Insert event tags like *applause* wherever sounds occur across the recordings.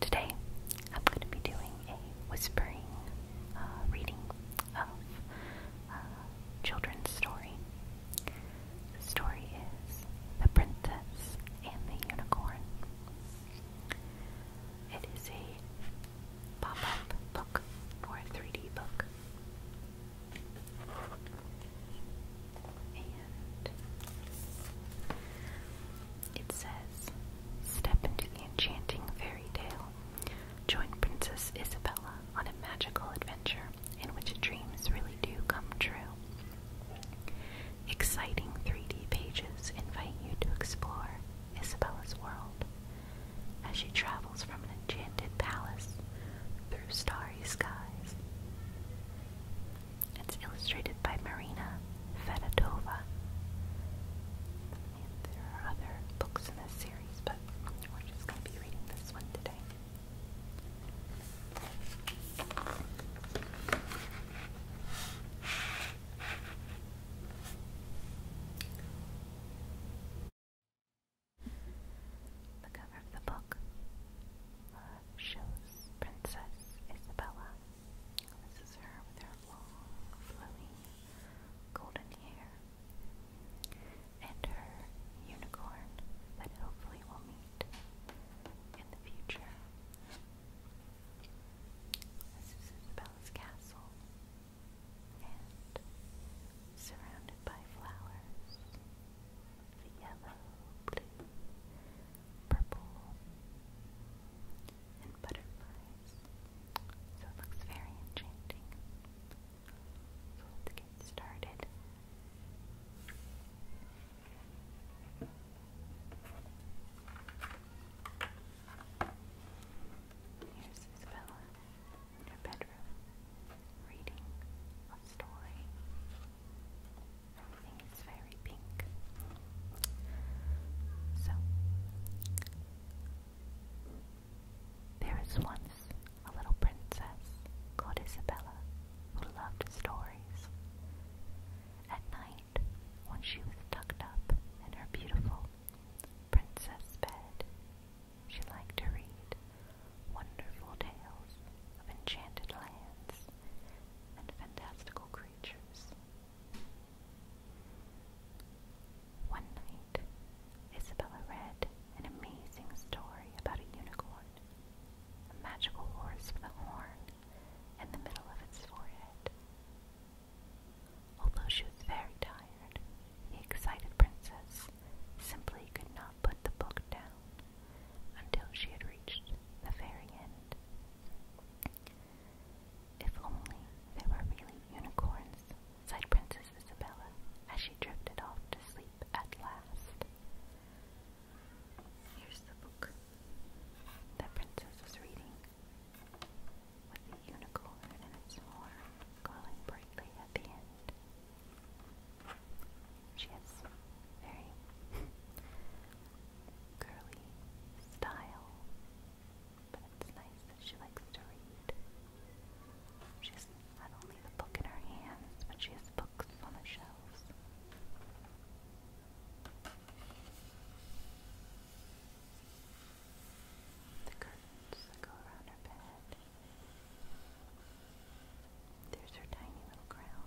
Today, I'm going to be doing a whispering uh, reading of a uh, children's story. The story is The Princess and the Unicorn. It is a pop up book or a 3D book. And it says Step into the enchanting fairy tale. Join Princess Isabella on a magical adventure in which dreams really do come true. Exciting 3D pages invite you to explore Isabella's world as she travels from an enchanted palace through starry skies. It's illustrated by Marina Fedotova. there are other books in this series, but we're just going to be reading this one today. The cover of the book uh, shows Princess Isabella. This is her with her long, flowing golden hair and her unicorn that hopefully will meet in the future. This is Isabella's castle, and surrounded by flowers, the yellow, blue, purple, and butterflies. So it looks very enchanting let's get started. Here's Isabella in her bedroom, reading a story. Everything is very pink. So, there was once a little princess called Isabella who loved stories. At night, when she was tucked up in her beautiful princess bed, she liked to read wonderful tales of enchanted lands and fantastical creatures. One night, Isabella read an amazing story about a unicorn, a magical horse with a horn in the middle of its forehead. Although she was very tired, the excited princess simply could not put the book down until she had reached the very end. If only there were really unicorns sighed Princess Isabella as she drifted off to sleep at last. Here's the book that Princess was reading, with the unicorn and its horn glowing brightly at the end. She has very curly *laughs* style but it's nice that she likes to read. She's not only the book in her hands, but she has books on the shelves. The curtains that go around her bed. There's her tiny little crown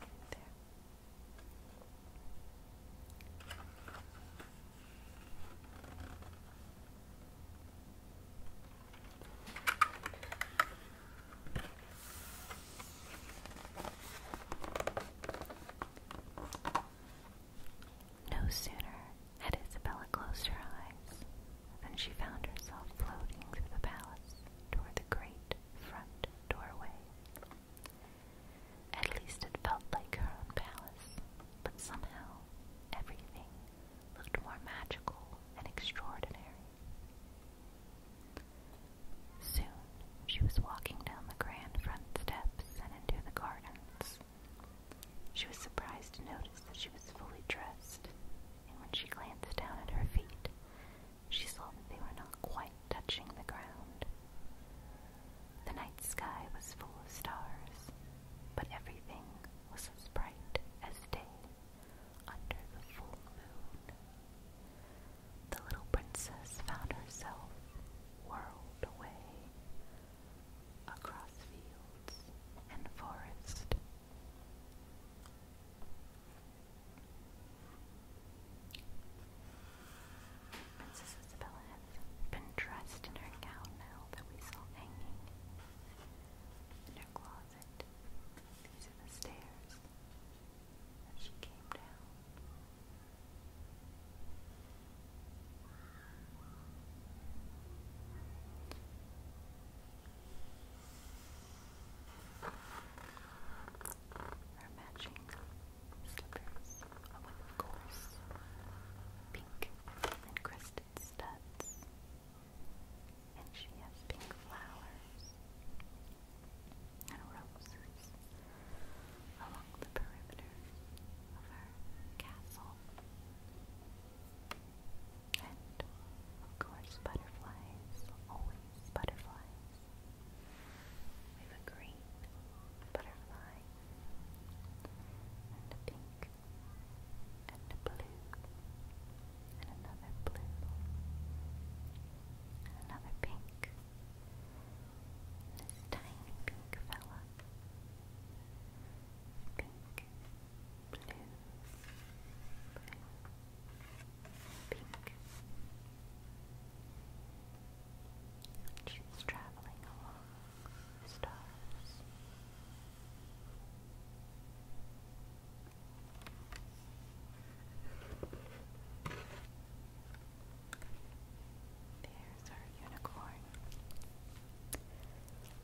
right there. No sooner had Isabella closed her eyes than she found herself floating through the palace toward the great front doorway. At least it felt like her own palace, but somehow everything looked more magical and extraordinary. Soon she was walking down the grand front steps and into the gardens. She was surprised to notice that she was fully dressed, and when she glanced down at her feet, she saw that they were not quite touching the ground. The night sky was full of stars, but everything was as bright as day under the full moon. The little princess found herself whirled away across fields and forest. Princess Isabella been dressed in her gown now that we saw hanging in her closet. These are the stairs that she came down. Her matching slippers, a of course, pink and crested studs, and she has pink flowers and roses along the perimeter of her castle. And of course, butterflies, always butterflies. We have a green butterfly and a pink, and a blue, and another blue, and another pink, this tiny pink fella, pink, blue, blue, pink. And and she was traveling along the stars. There's our unicorn.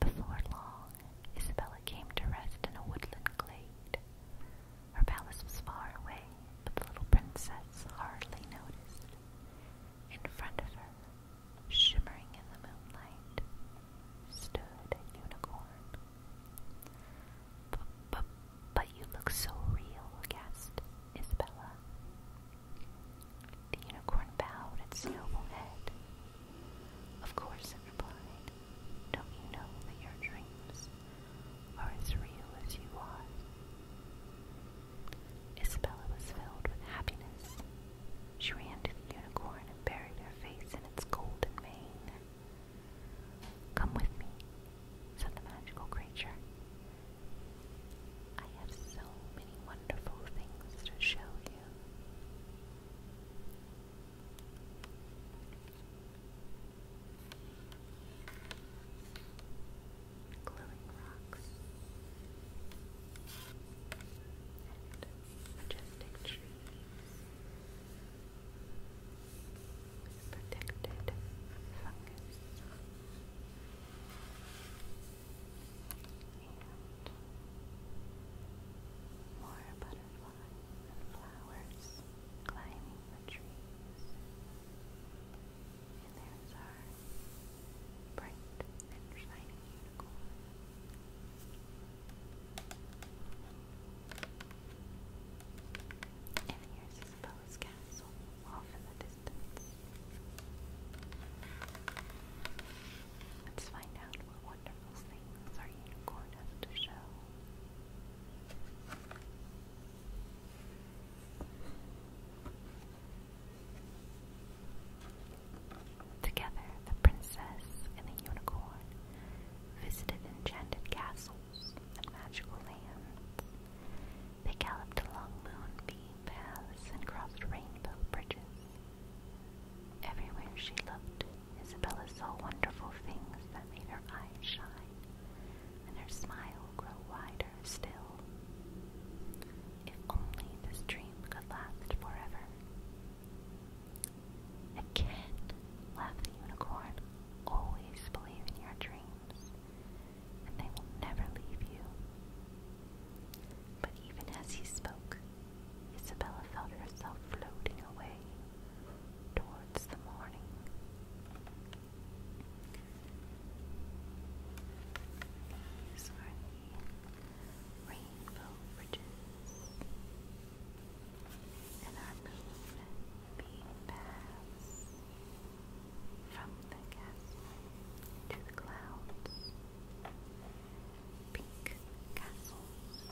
Before long, Isabella came to rest in a woodland glade. Her palace was far away, but the little princess hardly noticed. In front of her, shimmering in the moonlight, stood a unicorn. but you look so real, gasped Isabella. The unicorn bowed its noble head. Of course, it replied. Don't you know that your dreams are as real as you are? Isabella was filled with happiness. She ran to the unicorn and buried her face in its golden mane. Come with me, said the magical creature. I have so many wonderful things to show you glowing rocks, and majestic trees with protected fungus. And more butterflies and flowers climbing the trees and there's our bright and shining unicorn. And here's Isabella's castle off in the distance. Let's find out what wonderful things our unicorn has to show. Together, the princess and the unicorn visited enchanted castles and magical lands. They galloped along moonbeam paths and crossed rainbow bridges. Everywhere she looked, Isabella saw wonderful things that made her eyes shine and her smile grow wider brighter still. If only this dream could last forever. Again, laughed the unicorn, always believe in your dreams, and they will never leave you. But even as he spoke, Isabella felt herself floating away towards the morning. These are rainbow bridges and our moon being from the castle to the clouds. Pink castles with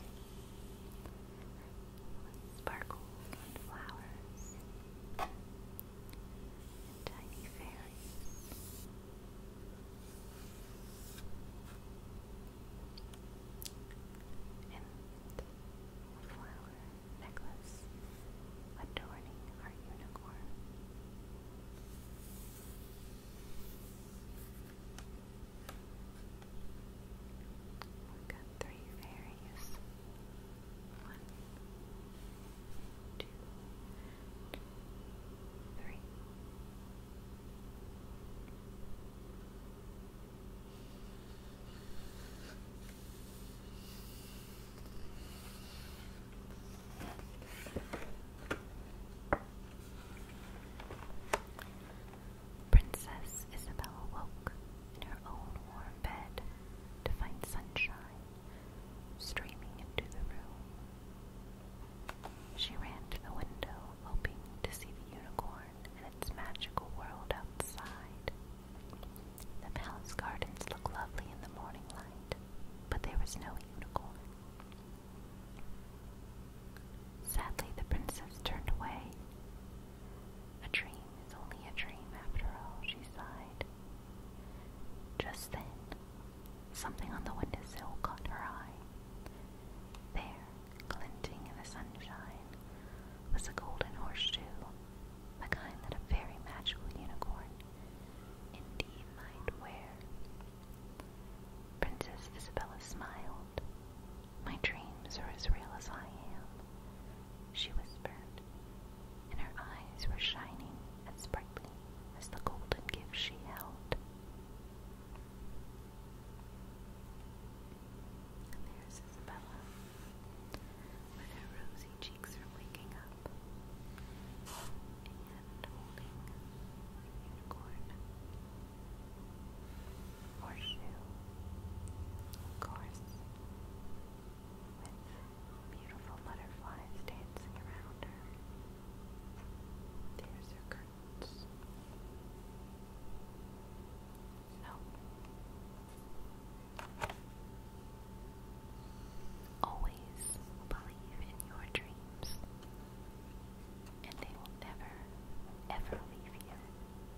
sparkles and flowers and tiny fairies. And flower necklace adorning our unicorn. We've got three fairies one, two, three. Princess Isabella woke in her own warm bed to find sunshine streaming into the room. She ran to the window, hoping to see the unicorn and its magical world outside. The palace gardens looked lovely in the morning light, but there was no unicorn. Sadly, the princess turned away a dream is only a dream after all, she sighed. Just then, something on the windowsill caught her eye. There, glinting in the sunshine, was a golden horseshoe, the kind that a very magical unicorn indeed might wear. Princess Isabella smiled. My dreams are as real as I am, she whispered, and her eyes were shining and sprightly as the golden gift she held. there's Isabella, with her rosy cheeks from waking up, and holding a unicorn horseshoe course with beautiful butterflies dancing around her. There's her curtains. So, always believe in your dreams, and they will never, ever leave you.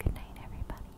Good night, everybody.